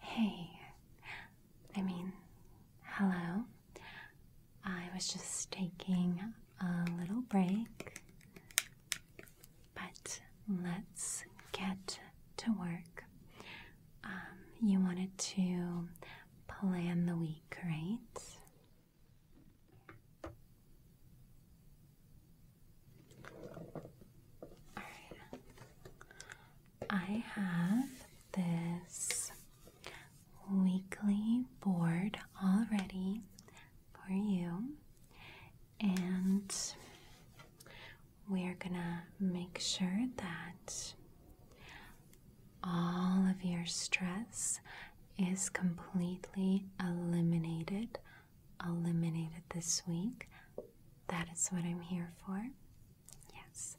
Hey, I mean, hello. I was just taking a little break, but let's get to work. Um, you wanted to plan the week, right? I have this weekly board already for you, and we are gonna make sure that all of your stress is completely eliminated, eliminated this week. That is what I'm here for. Yes,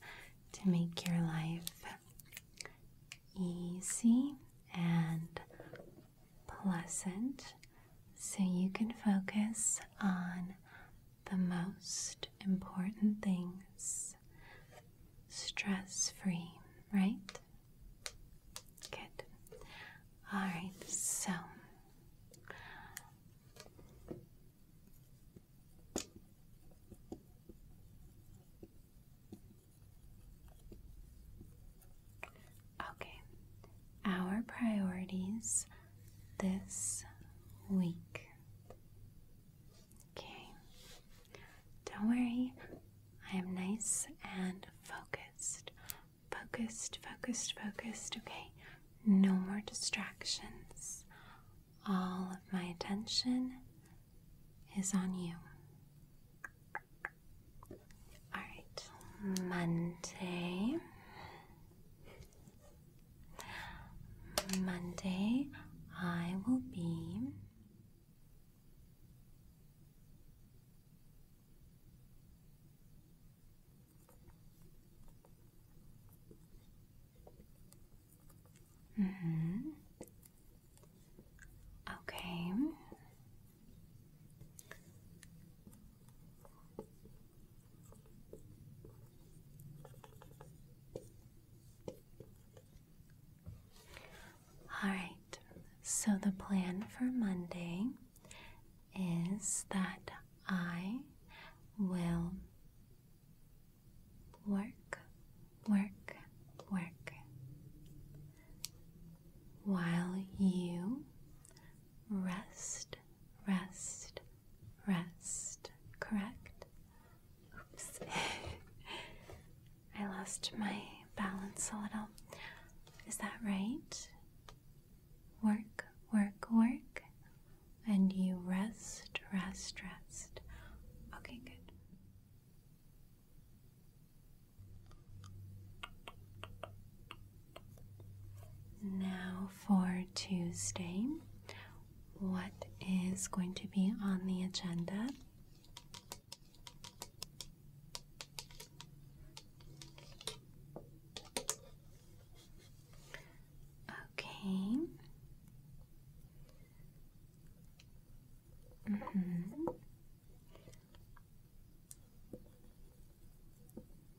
to make your life easy and pleasant so you can focus on the most important things stress free, right? Good. All right, so okay, our priorities this week. Okay, don't worry, I am nice and focused. Focused, focused, focused. Okay, no more distractions. All of my attention is on you. All right, Monday. Monday, I will be Mm -hmm. Okay. All right, so the plan for Monday is that I will work, work, work while you rest, rest, rest, correct? Oops. I lost my balance a little. Is that right? Work, work, work. And you rest, rest, rest. Okay, good. Now for Tuesday, what is going to be on the agenda? Okay. Mm-hmm.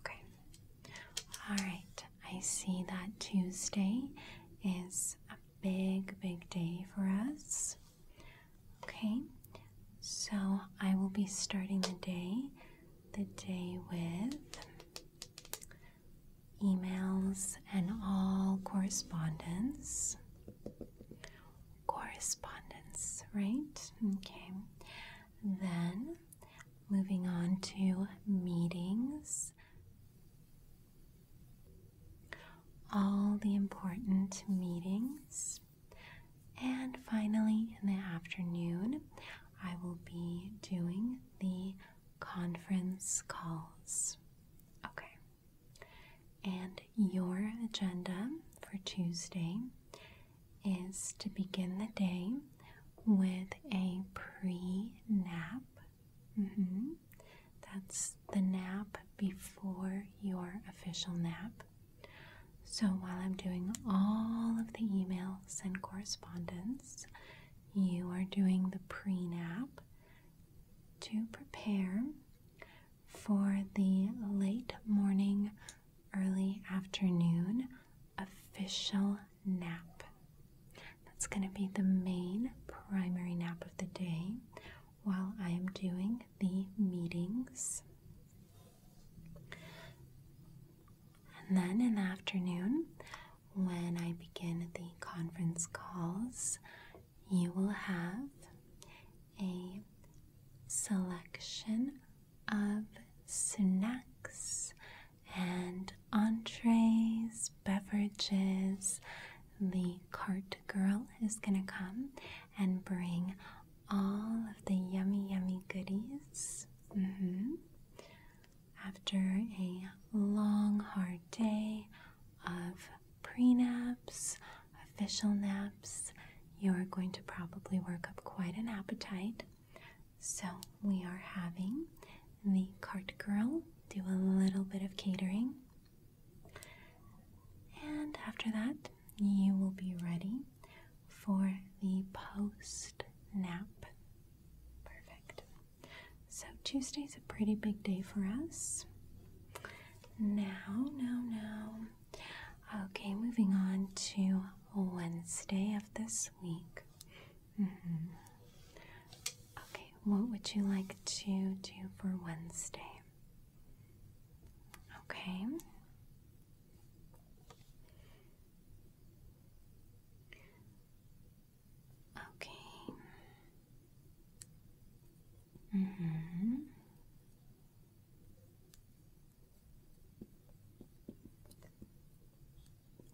Okay. All right. I see that Tuesday is a big, big day for us. Okay. So I will be starting the day, the day with emails and all correspondence correspondence, right? Okay. Then moving on to meetings. All the important meetings. And finally, in the afternoon, I will be doing the conference calls. Okay. And your agenda for Tuesday is to begin the day with a pre nap. Mm-hmm. That's the nap before your official nap. So while I'm doing all of the emails and correspondence, you are doing the pre nap to prepare for the late morning early afternoon official nap. That's going to be the main primary nap of the day while I am doing the meetings. And then in the afternoon, when I begin the conference calls, you will have a selection of snacks and entrees, beverages. The cart girl is going to come and bring all of the yummy, yummy goodies. Mm-hmm. After a long, hard day of prenups, official naps, you're going to probably work up quite an appetite. So, we are having the cart girl do a little bit of catering. And after that, you will be ready for the post nap. Perfect. So, is a pretty big day for us. Now, now, now, Okay, moving on to Wednesday of this week. Mm-hmm. Okay, what would you like to do for Wednesday? Okay. Okay. hmm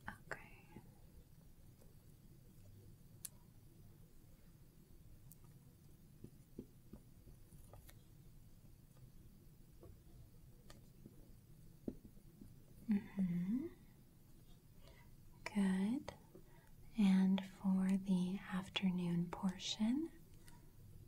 Okay. Mm-hmm. Good. And for the afternoon portion,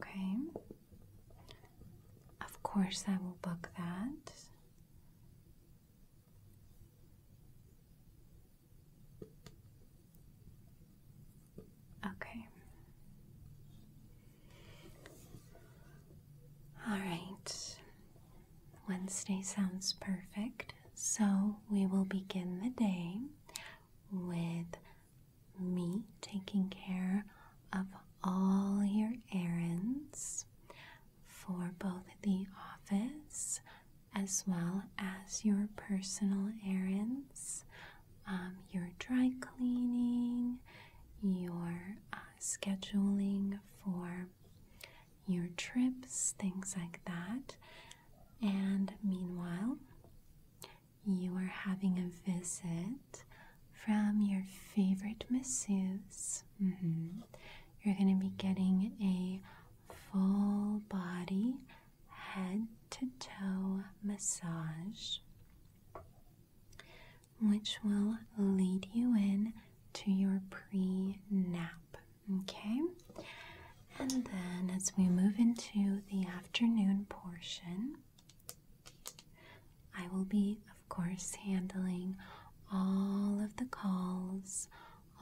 Okay. Of course, I will book that. Okay. All right. Wednesday sounds perfect. So we will begin the day with me taking care of all your errands for both the office as well as your personal errands, um, your dry cleaning, your uh, scheduling for your trips, things like that. And meanwhile, you are having a visit from your favorite masseuse. Mm-hmm. You're going to be getting a full body, head to toe massage, which will lead you in to your pre nap. Okay? And then as we move into the afternoon portion, I will be, of course, handling all of the calls,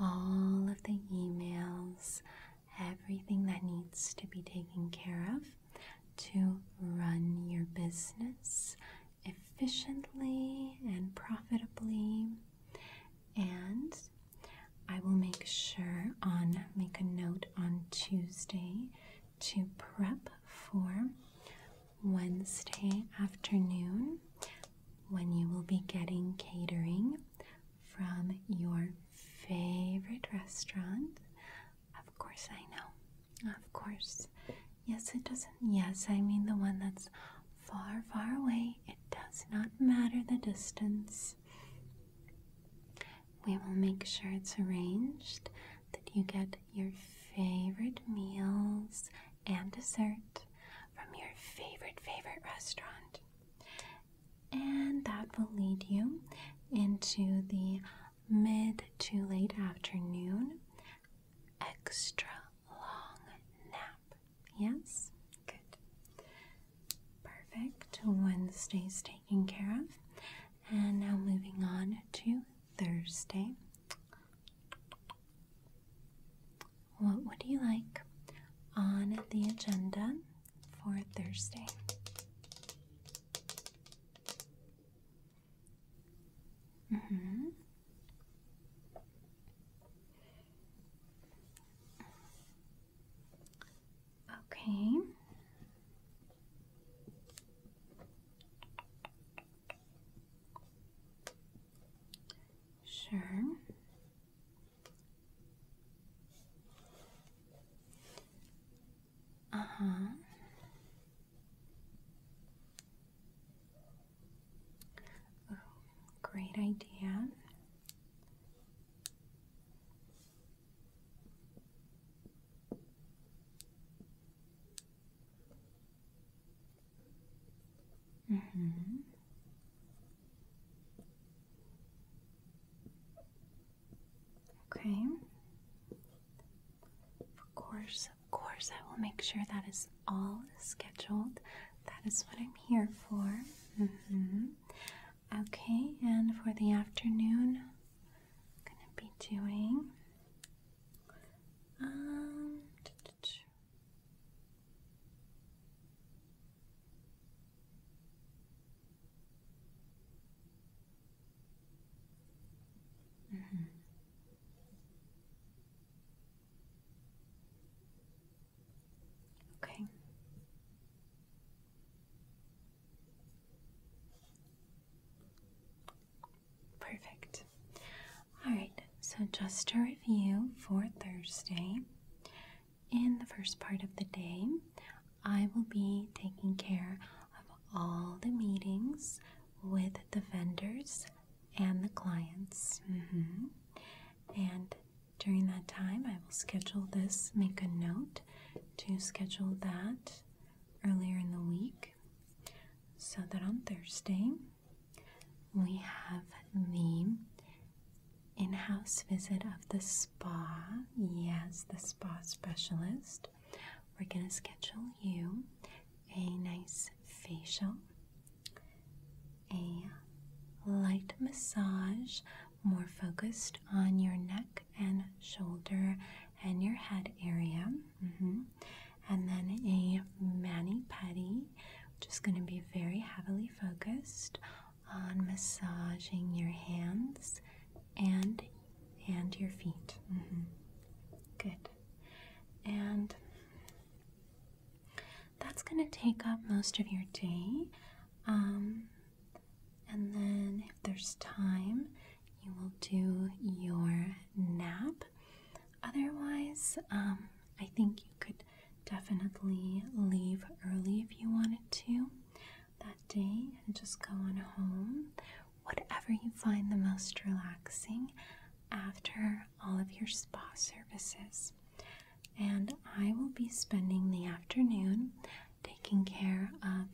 all of the emails, everything that needs to be taken care of to run your business efficiently and profitably. And I will make sure on make a note on Tuesday to prep for Wednesday afternoon when you will be getting catering from your favorite restaurant. Of course, I know. Of course. Yes, it doesn't. Yes, I mean the one that's far, far away. It does not matter the distance. We will make sure it's arranged that you get your favorite meals and dessert from your favorite, favorite restaurant. And that will lead you into the mid to late afternoon extra long nap Yes? Good. Perfect. Wednesday's taken care of. And now moving on to Thursday. What would you like on the agenda for Thursday? Mm-hmm. Okay. Sure. Uh-huh. Oh, great idea. Mm-hmm. Okay. Of course, of course, I will make sure that is all scheduled. That is what I'm here for. Mm-hmm. Okay, and for the afternoon, I'm gonna be doing um, Okay. Perfect. All right, so just to review for Thursday, in the first part of the day, I will be taking care of all the meetings with the vendors and the clients. Mm-hmm. And during that time, I will schedule this, make a note to schedule that earlier in the week so that on Thursday we have the in house visit of the spa. Yes, the spa specialist. We're going to schedule you a nice facial, a light massage more focused on your neck and shoulder and your head area. Mm-hmm. And then a mani pedi, which is going to be very heavily focused on massaging your hands and and your feet. Mm-hmm. Good. And that's going to take up most of your day. Um, and then, if there's time, you will do your nap. Otherwise, um, I think you could definitely leave early if you wanted to that day and just go on home. Whatever you find the most relaxing after all of your spa services. And I will be spending the afternoon taking care of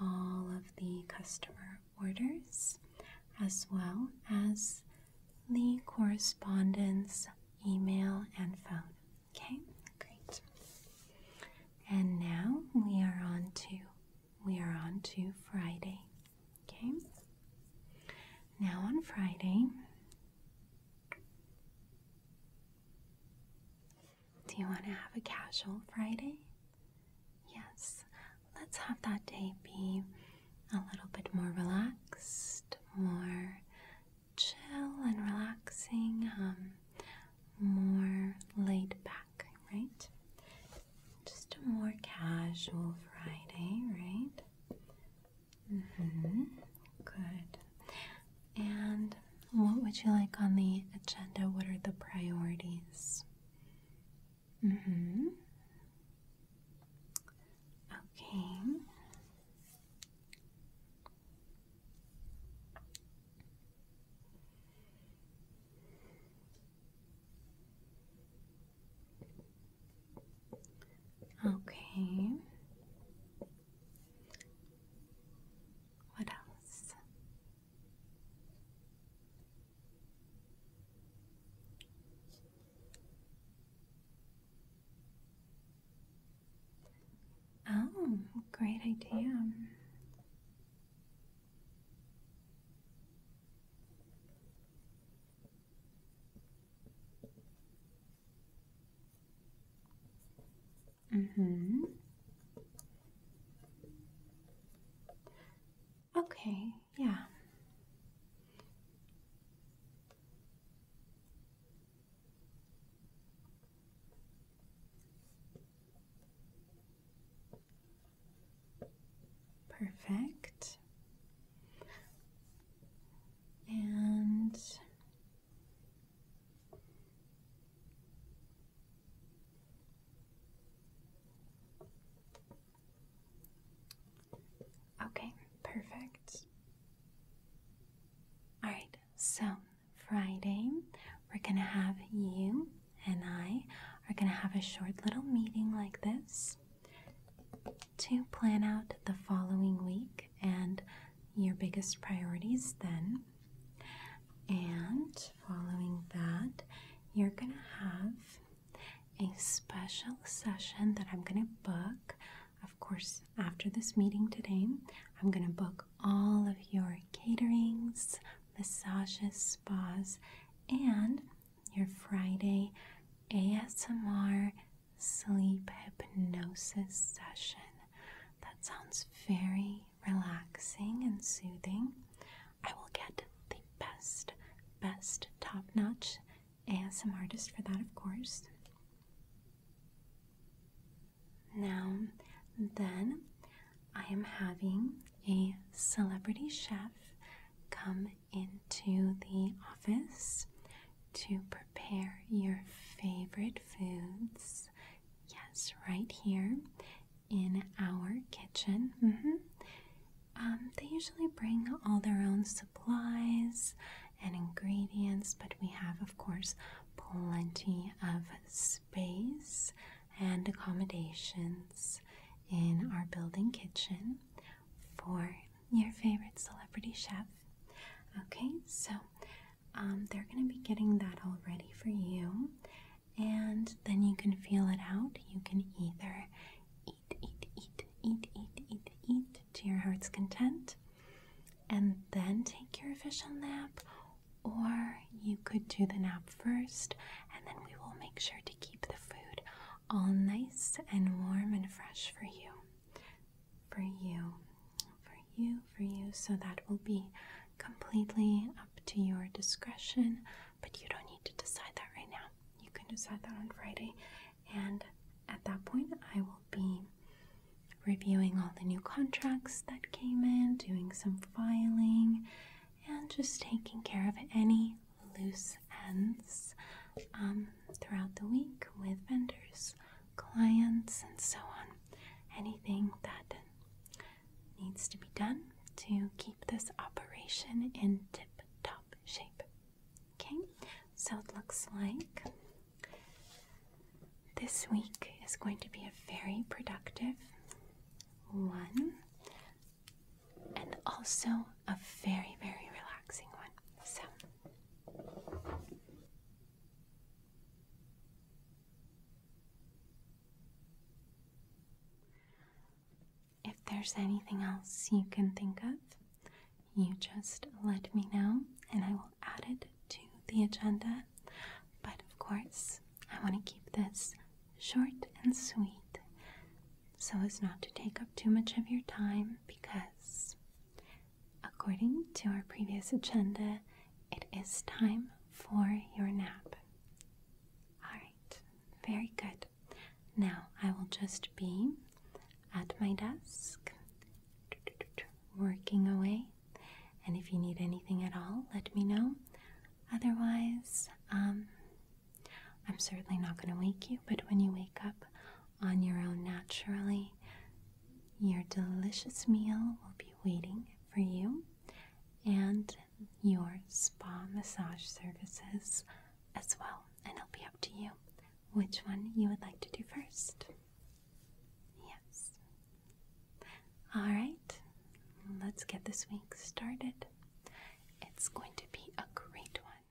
all of the customer orders as well as the correspondence, email, and phone. Okay, great. And now we are on to we are on to Friday. Okay. Now on Friday, do you want to have a casual Friday? Yes, let's have that day be a little bit more relaxed, more chill and relaxing, um, more laid back, right? Just a more casual Friday, right? Mm-hmm. Good. And what would you like on the agenda? What are the priorities? Mm-hmm. Okay. Okay. What else? Oh, great idea. Mm-hmm. Okay, yeah. Perfect. And Okay, perfect. Alright, so Friday, we're gonna have you and I are gonna have a short little meeting like this to plan out the following week and your biggest priorities then. And following that, you're going to have a special session that I'm going to book. Of course, after this meeting today, I'm going to book all of your caterings, massages, spas, and your Friday ASMR sleep hypnosis session. That sounds very relaxing and soothing. I will get the best, best top notch ASM artist for that, of course. Now, then, I am having a celebrity chef come into the office to prepare your favorite foods. Yes, right here in our kitchen. Mm-hmm. Um, they usually bring all their own supplies and ingredients, but we have, of course, plenty of space and accommodations in our building kitchen for your favorite celebrity chef. Okay, so um, they're going to be getting that all ready for you, and then you can feel it out. You can either eat, eat, eat, eat, eat, eat, eat to your heart's content, and then take your official nap, or you could do the nap first, and then we will make sure to keep the food all nice and warm and fresh for you for you, for you, for you. So that will be completely up to your discretion, but you don't need to decide that right now. You can decide that on Friday, and at that point, I will be reviewing all the new contracts that came in, doing some filing, and just taking care of any loose ends um, throughout the week with vendors clients, and so on. Anything that needs to be done to keep this operation in tip top shape. Okay, so it looks like this week is going to be a very productive one and also a very, very relaxing one. So if there's anything else you can think of, you just let me know and I will add it to the agenda. But of course, I want to keep this short and sweet so as not to take up too much of your time because According to our previous agenda, it is time for your nap. Alright, very good. Now I will just be at my desk working away. And if you need anything at all, let me know. Otherwise, um, I'm certainly not going to wake you, but when you wake up on your own naturally, your delicious meal will be waiting for you, and your spa massage services as well. And it'll be up to you which one you would like to do first. Yes. All right, let's get this week started. It's going to be a great one.